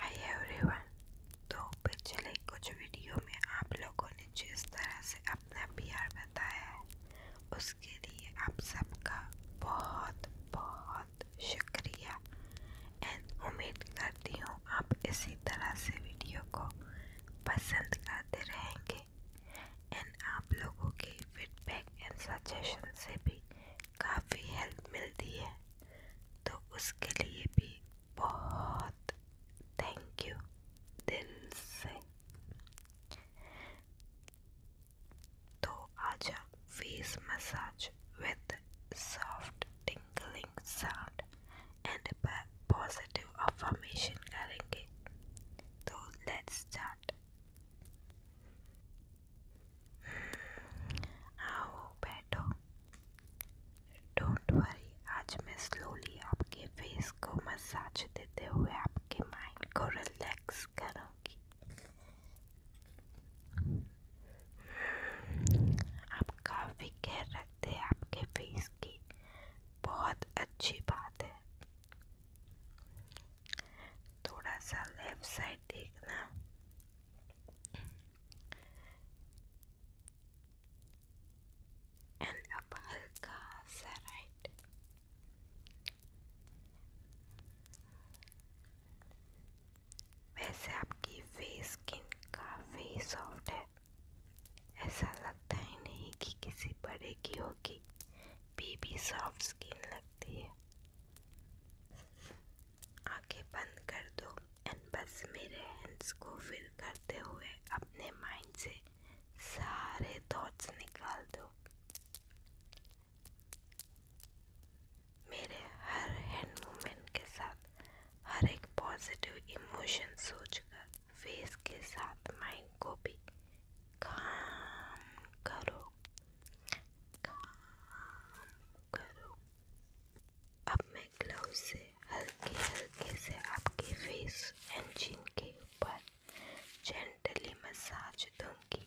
हाय तो आप लोगों ने जिस तरह से अपना प्यार बताया है आप इसी तरह से वीडियो को पसंद करते रहेंगे एंड आप लोगों के फीडबैक एंड सजेशन से भी काफ़ी हेल्प मिलती है तो उसके लिए भी बहुत थैंक यू दिल से तो आजा face massage with soft tinkling sound and positive affirmation करेंगे तो लेट्स स्टार्ट आओ बैठो डोंट वरी आज मैं स्लोली आपके फेस को मसाज देते हुए आपके माइंड को रिलैक्स करूंगी आप काफ़ी केयर रखते हैं आपके फेस की बहुत अच्छी बात है थोड़ा सा लेफ्ट साइड देखना एंड अब हल्का सा राइट वैसे आपकी फेस स्किन काफ़ी सॉफ्ट है ऐसा लगता ही नहीं कि किसी बड़े की होगी बेबी सॉफ्ट स्किन लगती है आंखें बंद कर दो एंड बस मेरे हैंड्स को फिल करते हुए अपने माइंड से सारे थॉट्स निकाल दो मेरे हर हैंड मूवमेंट के साथ हर एक पॉजिटिव इमोशन सोचकर फेस के साथ माइंड को भी काम करो काम करो अब मैं ग्लव से हल्के हल्के से आपके फेस एंड चिन के ऊपर जेंटली मसाज दूंगी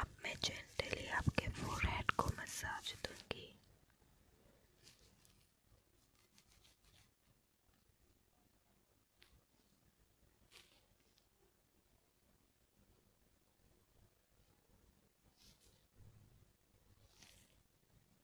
अब मैं जेंटली आपके फोरहेड को मसाज दूंगी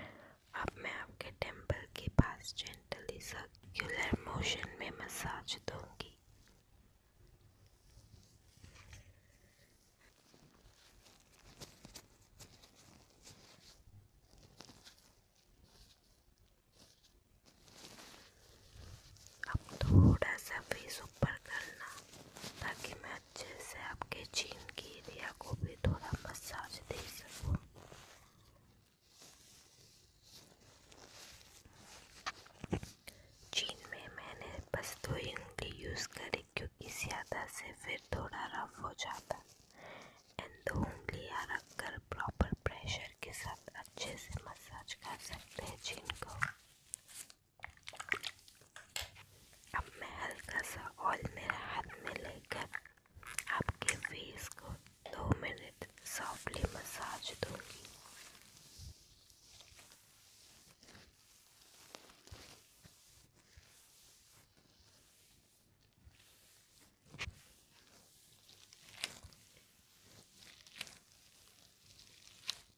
अब मैं आपके टेम्पल के पास जेंटली सर्कुलर मोशन में मसाज दूंगी अब थोड़ा सा फेस ऊपर करना ताकि मैं अच्छे से आपके चीन की एरिया को भी थोड़ा मसाज दे सकूँ चीन में मैंने बस दो ही उंगली यूज़ करी क्योंकि ज़्यादा से फिर थोड़ा रफ हो जाता एंड दो उंगलियाँ रख कर प्रॉपर प्रेशर के साथ अच्छे से मसाज कर सकते हैं चीन को अब मैं हल्का सा ऑयल मेरे हाथ में लेकर आपके फेस को दो मिनट सॉफ्टली मसाज दूंगी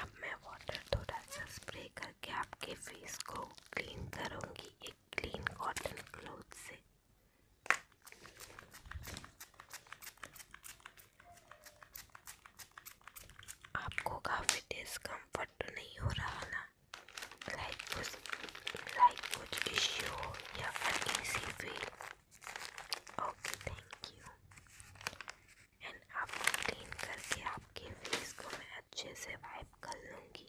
अब मैं वाटर थोड़ा सा स्प्रे करके आपके फेस को क्लीन करूँगी एक क्लीन कॉटन क्लोथ से आपको काफ़ी डिस्कम्फर्ट तो नहीं हो रहा ना लाइक कुछ लाइक कुछ इश्यू हो या फिर इसी feel okay thank you and आपको क्लीन करके आपके फेस को मैं अच्छे से वाइप कर लूँगी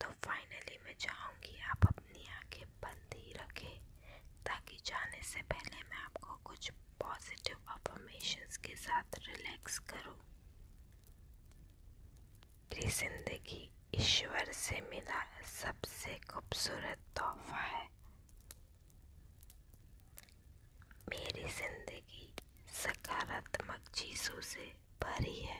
तो फाइनली मैं चाहूँगी आप अपनी आंखें बंद ही रखें ताकि जाने से पहले मैं आपको कुछ पॉजिटिव अफर्मेशंस के साथ रिलैक्स करूँ मेरी जिंदगी ईश्वर से मिला सबसे खूबसूरत तोहफा है मेरी जिंदगी सकारात्मक चीजों से भरी है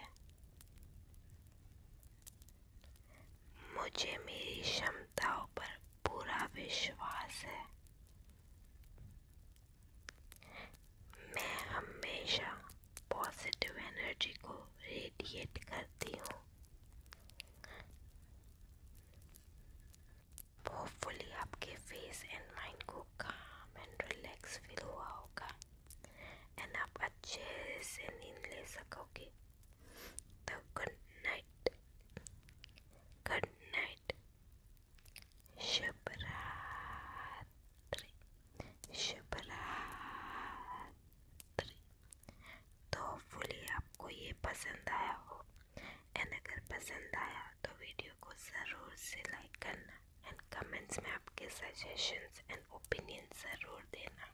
मुझे मेरी क्षमताओं पर पूरा विश्वास है मैं हमेशा पॉजिटिव एनर्जी को रेडिएट करती हूँ होपफुली आपके फेस एंड माइंड को काम एंड रिलैक्स फील हुआ होगा एंड आप अच्छे से नींद ले सकोगे तो गुड नाइट गुड नाइट शुभ रात्रि शुभ रात्रि तो होपफुली आपको ये पसंद आया हो एंड अगर पसंद आया तो वीडियो को ज़रूर से लाइक करना एंड कमेंट्स में आपके सजेशंस एंड ओपिनियन ज़रूर देना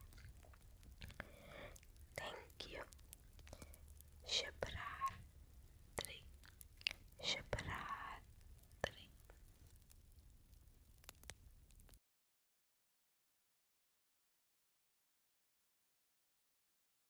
थैंक यू शिवरात्रि शिवरात्रि